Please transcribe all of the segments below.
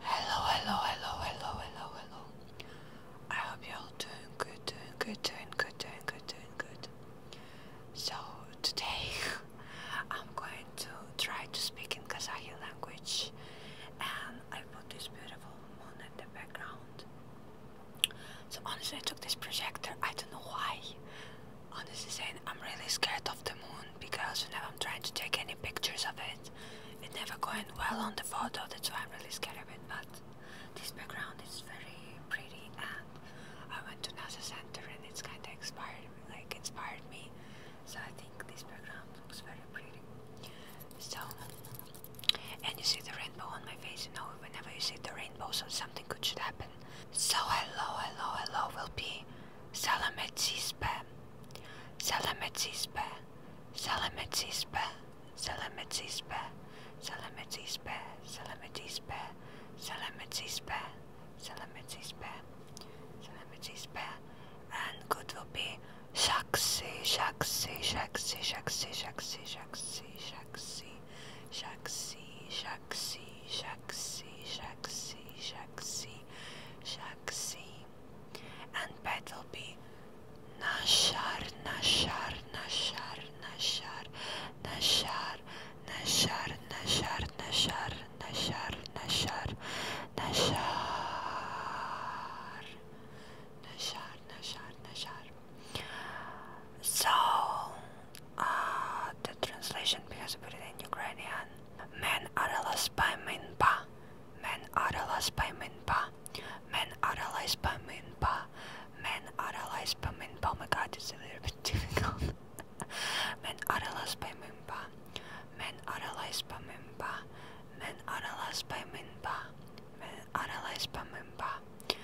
Hello, hello, hello, hello, hello, hello. I hope you all doing good, doing good, doing good, doing good, doing good. So today I'm going to try to speak in Kazakh language and I put this beautiful moon in the background. So honestly I took this projector, I don't know why. Honestly saying I'm really scared of the moon because you I'm trying to take any pictures of it. It never going well on the photo, that's why I'm really scared of it. But this background is very pretty, and I went to NASA Center, and it's kind of inspired, like inspired me. So I think this background looks very pretty. So, and you see the rainbow on my face. You know, whenever you see the rainbow, so something good should happen. So hello, hello, hello will be Salamet Spam. Selametzispe, Selametzispe, Selametzispe, Selametzispe, Selametzispe, Selametzispe, Selametzispe, Selametzispe, and good will be Shaksi, Shaksi, Shaksi, Shaksi, Shaksi, Shaksi, Shaksi, Shaksi, Shaksi, Shaksi, Shaksi, Shaksi, Shaksi. Black and Battleby Nashar, Nashar, Nashar, Nashar, Nashar, Nashar, Nashar, Nashar, Nashar, Nashar, Nashar, Nashar, Nashar, So, the translation because I put it in Ukrainian Men analyzed by Minpa. Men analyzed by Minpa. Men analyzed by Minpa. Men analyzed by Minpa. Oh my god, it's a little bit difficult. Men analyzed by Minpa. Men analyzed by Minpa. Men analyzed by Minpa. Men analyzed by Minpa.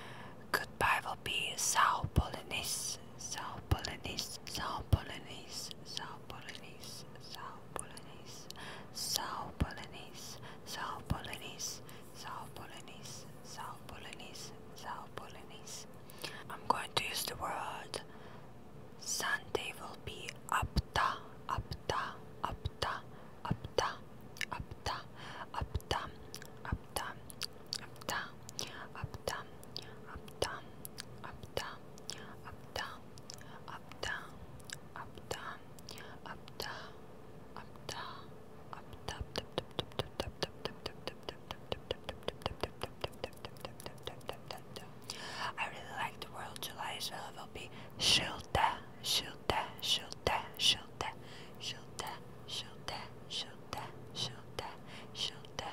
Goodbye will be Sao Polynese. Sao Polonese, Sao Polonese, Sao Polonese, Sao Polonese, Sao Polonese, Sao Polonese, Sao Polonese, Sao Polonese, Sao Polonese. I'm going to use the word Sunday will be apta, apta, apta, apta, apta, apta, apta, apta, apta, apta, I really like the word July so it will be Schilde, Schilde, Schilde, Schilde, Schilde, Schilde, Schilde, Schilde, Schilde,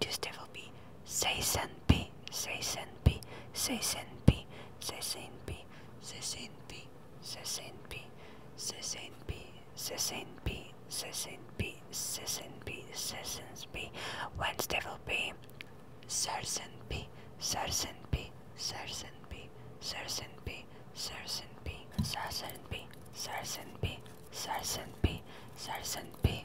Tuesday will be Seisen P, Seisen P, Seisen P, Seisen P, Seisen P, Seisen P, Seisen P, Seisen P, Seisen P, Seisen P, Seisen P. Wednesday will be Sersen P, Sersen P, Sersen P, Sersen P, Sersen P, Sersen P, Sersen P, Sersen P, Sersen P.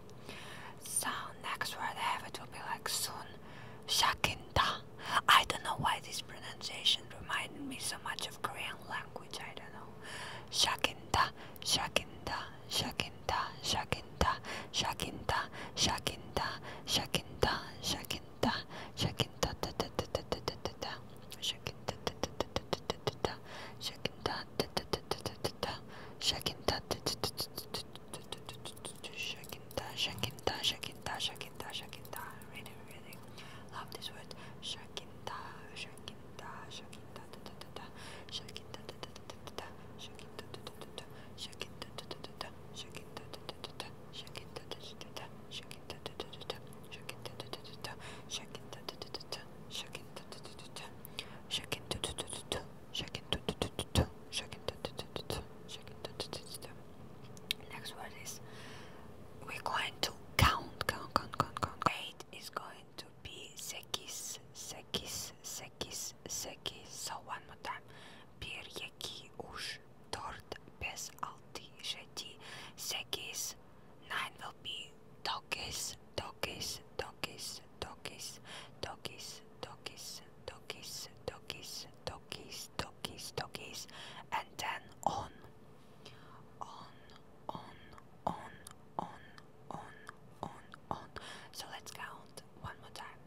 So next word I have it will be like soon shakinda. I don't know why this pronunciation reminded me so much of Korean language. I don't know. Shakinda, shakinda, shakinda, shakinda, shakinda, shakinda, shakinda, shakinda, shakinda, da da da da da da da, shakinda, da da da da da da da, shakinda, da da da da da da, shakinda, da da da da da Shakinta, shakinta, da, shakinta, da. Really, really love this word. Shakinta, da, shakinta, da da da da. Shakinta, da da da da da. Shakinta, da da da da. Shakinta, da da da da. Shakinta, da da da da. Shakinta, da da da. Shakinta, da da da da. Shakinta, da da da da. Shakinta, da da da da. Shakinta, da da da da. Shakinta, da da da da. Shaken. Shaken. Next word is we're going to count, count, count, count, count. Eight is going to be sekis, sekis, sekis, sekis. So one more time. Bir yeki ush tort bes alti sheti sekis. Nine will be do Dokis, Dokis, Dokis, Dokis, Dokis, Dokis, Dokis, Dokis, Dokis, Dokis, Dokis, and then on. On, on, on, on, on, on, on. So let's count one more time.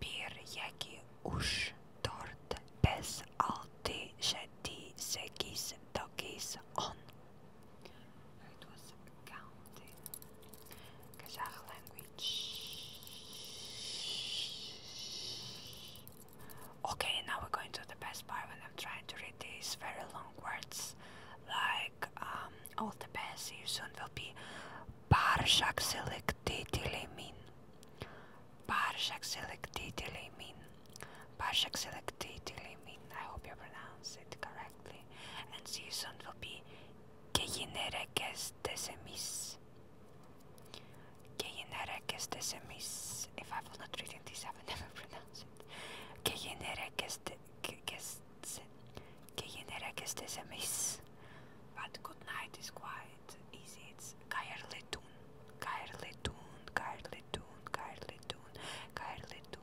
Bir, yeki, ush, dört, bes, altı, şedi, sekiz, dokis, on. Okay, now we're going to the best part when I'm trying to read these very long words. Like, um, all the best, you soon will be Barshak Select Titilimin. Barshak Pashak selected Tilimin, I hope you pronounce it correctly, and season will be Geyinerekes Desemis. Geyinerekes Desemis. If I've not written this, I will never pronounce it. Geyinerekes Desemis. But good night is quite easy. It's Kairletun, Kairletun, Kairletun, Kairletun, Kairletun.